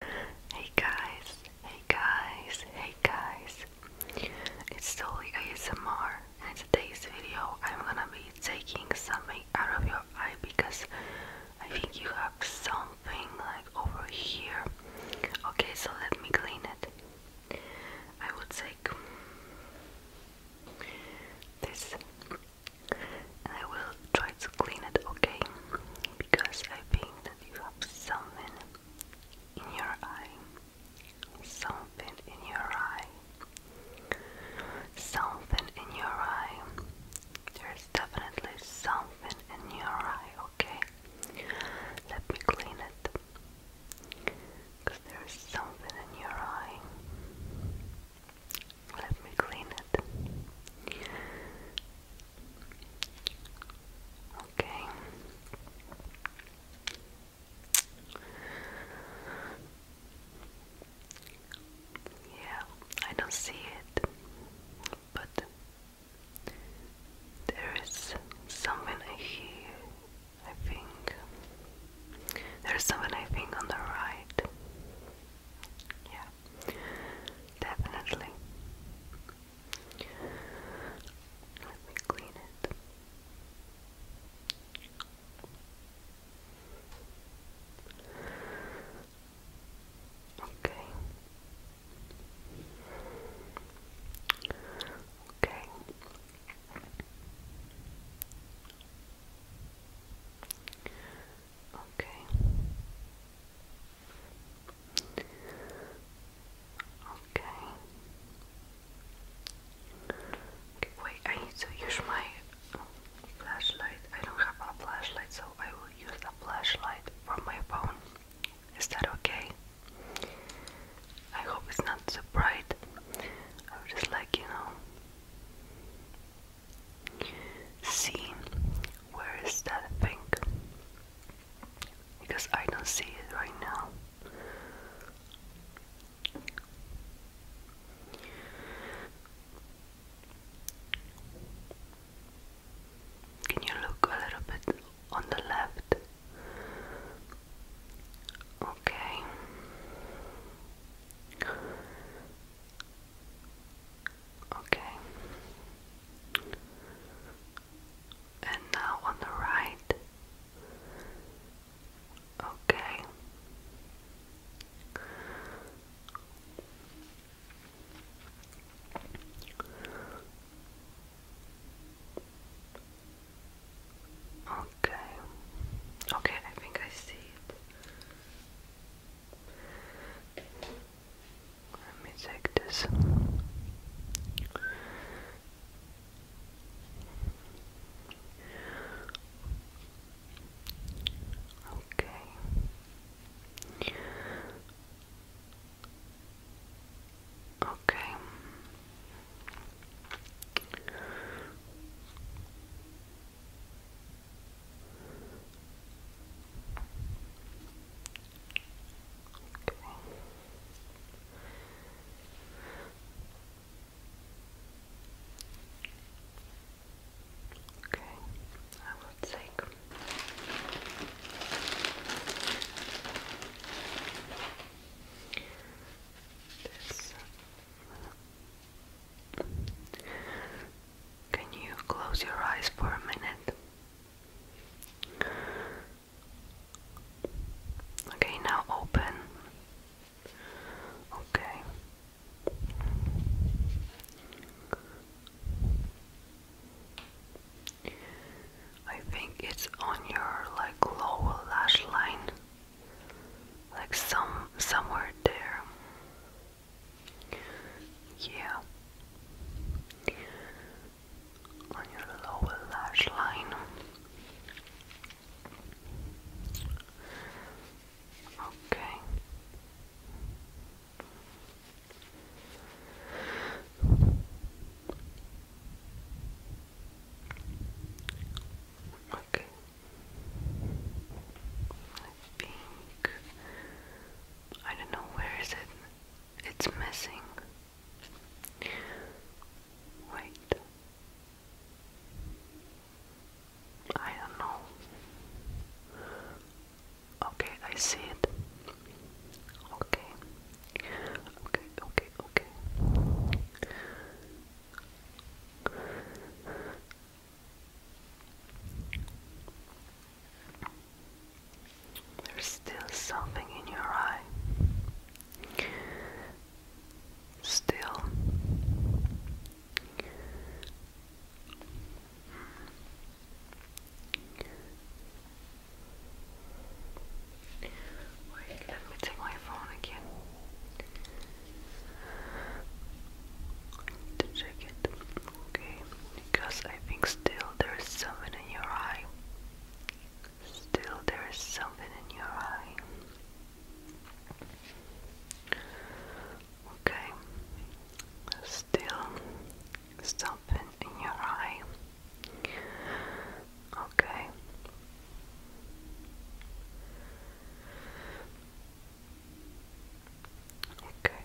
Hey guys, hey guys, hey guys. It's Dolly ASMR in today's video I'm gonna be taking something out of your eye because I think you have something like over here. Okay, so let me clean it. I will take this I will try to clean it okay because I think you have something in your eye, something in your eye, something in your eye. There's definitely something in your eye, okay? Let me clean it. Because there's something in your eye. Let me clean it. Okay. Yeah, I don't see it, but there is something I hear, I think. There's something I think on the right. Yeah, definitely. Let me clean it. Okay. Okay. Okay. Okay. okay. Wait, I need to use my flashlight. I don't have a flashlight, so I will use the flashlight from my phone. Is that okay? I hope it's not too bright. I would just like, you know, see where is that thing? because I don't see it right now. Can you look a little bit on the left? Okay. Okay. And now on the right. Okay. Okay. Okay, I think I see it. Let me take this. Okay. Okay. Okay. Okay, I will take this. Can you close your eyes for a minute? Okay, now open. Okay. I think it's on your like lower lash line. Like some somewhere there. Yeah on your lower lash line. Okay. Okay. I think I don't know where is it. It's missing. Wait. I know. Okay, I see it. Okay. Okay, okay, okay. There's still something in your eye. Still. let me take my phone again to check it. Okay because I think still there is something in your eye. Still there is something in your eye. Okay, still something in your eye. Okay. Okay,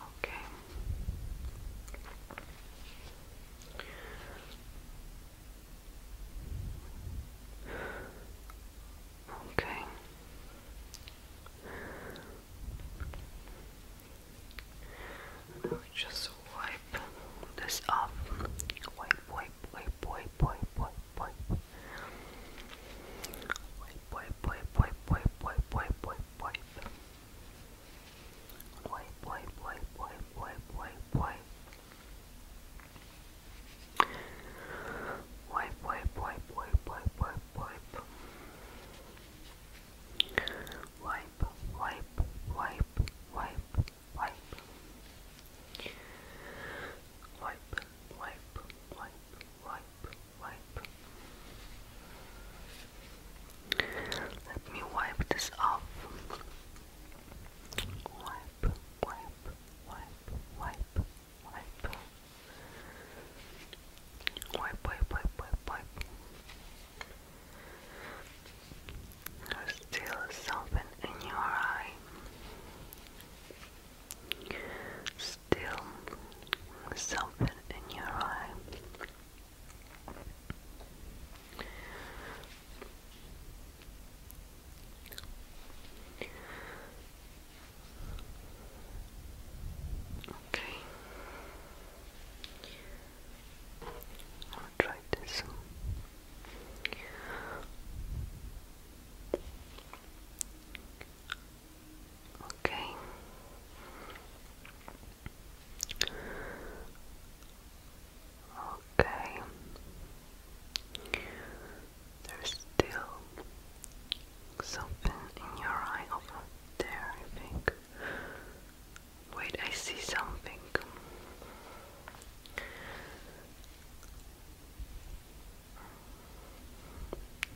Okay. Okay. Now just wipe this off. Wipe, wipe, wipe, wipe, wipe, wipe, wipe. Wipe, wipe, wipe, wipe, wipe, wipe, wipe, wipe, wipe. Boy, boy, boy, boy, boy, boy, boy. Boy, boy, boy, boy, boy, boy, boy. Wipe, wipe, wipe, wipe, wipe. Wipe, wipe, wipe, wipe, wipe. Let me wipe this off. Wipe, wipe, wipe, wipe, wipe. Wipe, wipe, wipe, wipe, wipe. There's still something in your eye still something in your eye. Okay. I'll try this. Okay. Okay. There's still something in your eye over there, I think. Wait, I see something.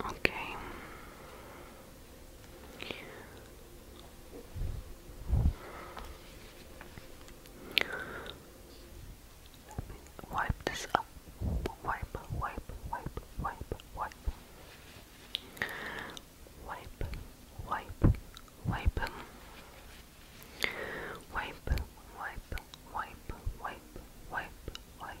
Okay. Wipe this up. Wipe, wipe, wipe, wipe, wipe. Wipe, wipe, wipe. Wipe, wipe, wipe, wipe, wipe, wipe,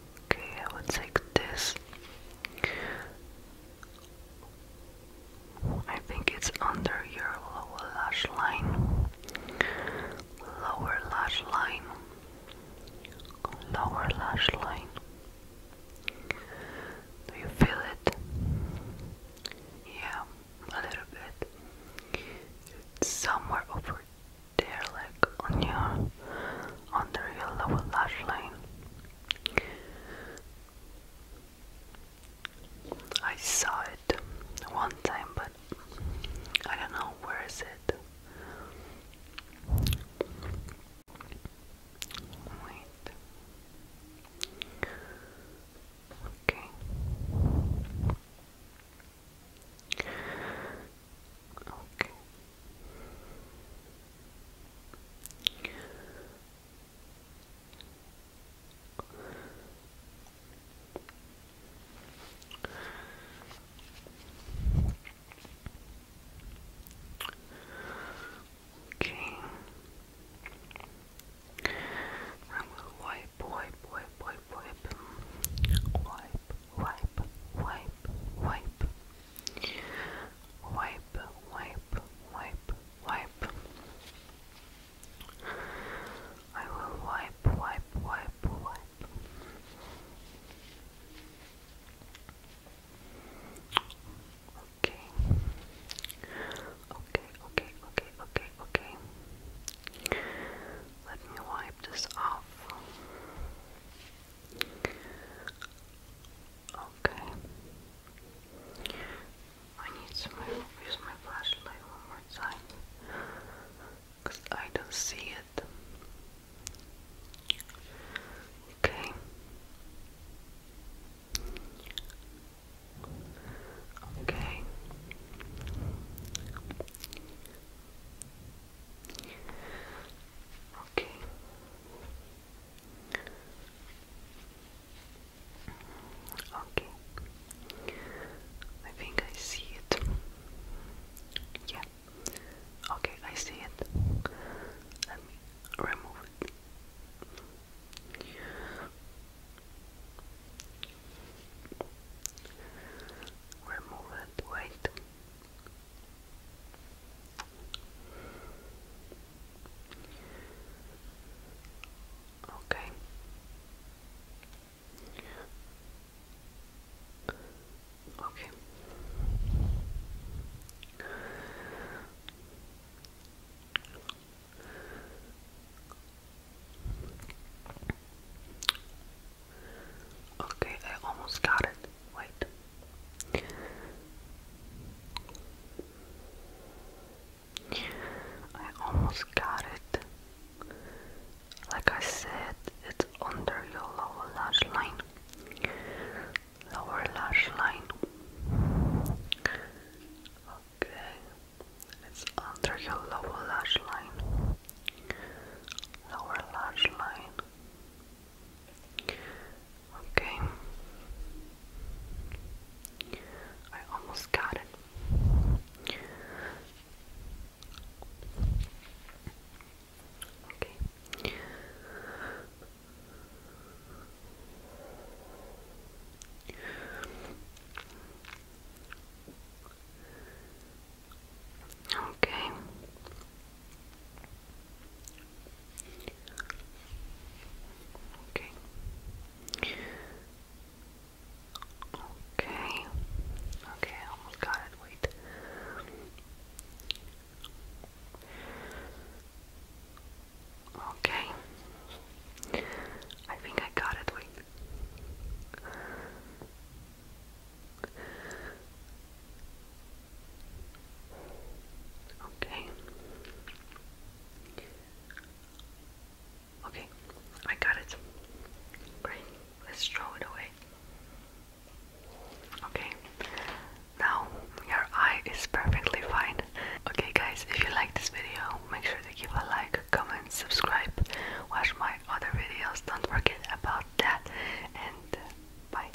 Okay, I will take this. I think it's under your lower lash line. Lower lash line. Lower lash line. Do you feel it? Yeah, a little bit. It's somewhere over there, like on your under your lower lash line. I saw it one time, but I don't know where is it. Wait. Okay. Okay. Okay. I will wipe, wipe, wipe, wipe, wipe, wipe, wipe, wipe, wipe, Wipe, wipe, wipe, wipe. I will wipe, wipe, wipe, wipe. Okay. Okay, okay, okay, okay, okay. Let me wipe this off. Okay. I need to use my flashlight one more time because I don't see it. Okay. Okay. Okay. Okay. I think I see it. Yeah. Okay, I see it. Let me remove it. Remove it, wait. Okay. Okay. Okay, I almost got it white. I almost got it. Like I said, it's under your lower lash line. Lower lash line. Okay. It's under your lower lash line. Lower lash line. Okay. I almost got it. Okay. Okay. Okay. Okay. Okay, I almost got it. Wait. Okay. I think I got it. Wait. Okay. Okay, I got it. Great. Let's throw it away. Okay. Now your eye is perfectly fine. Okay guys, if you like this video, make sure to give a like, comment, subscribe, watch my other videos, don't forget about that, and bye.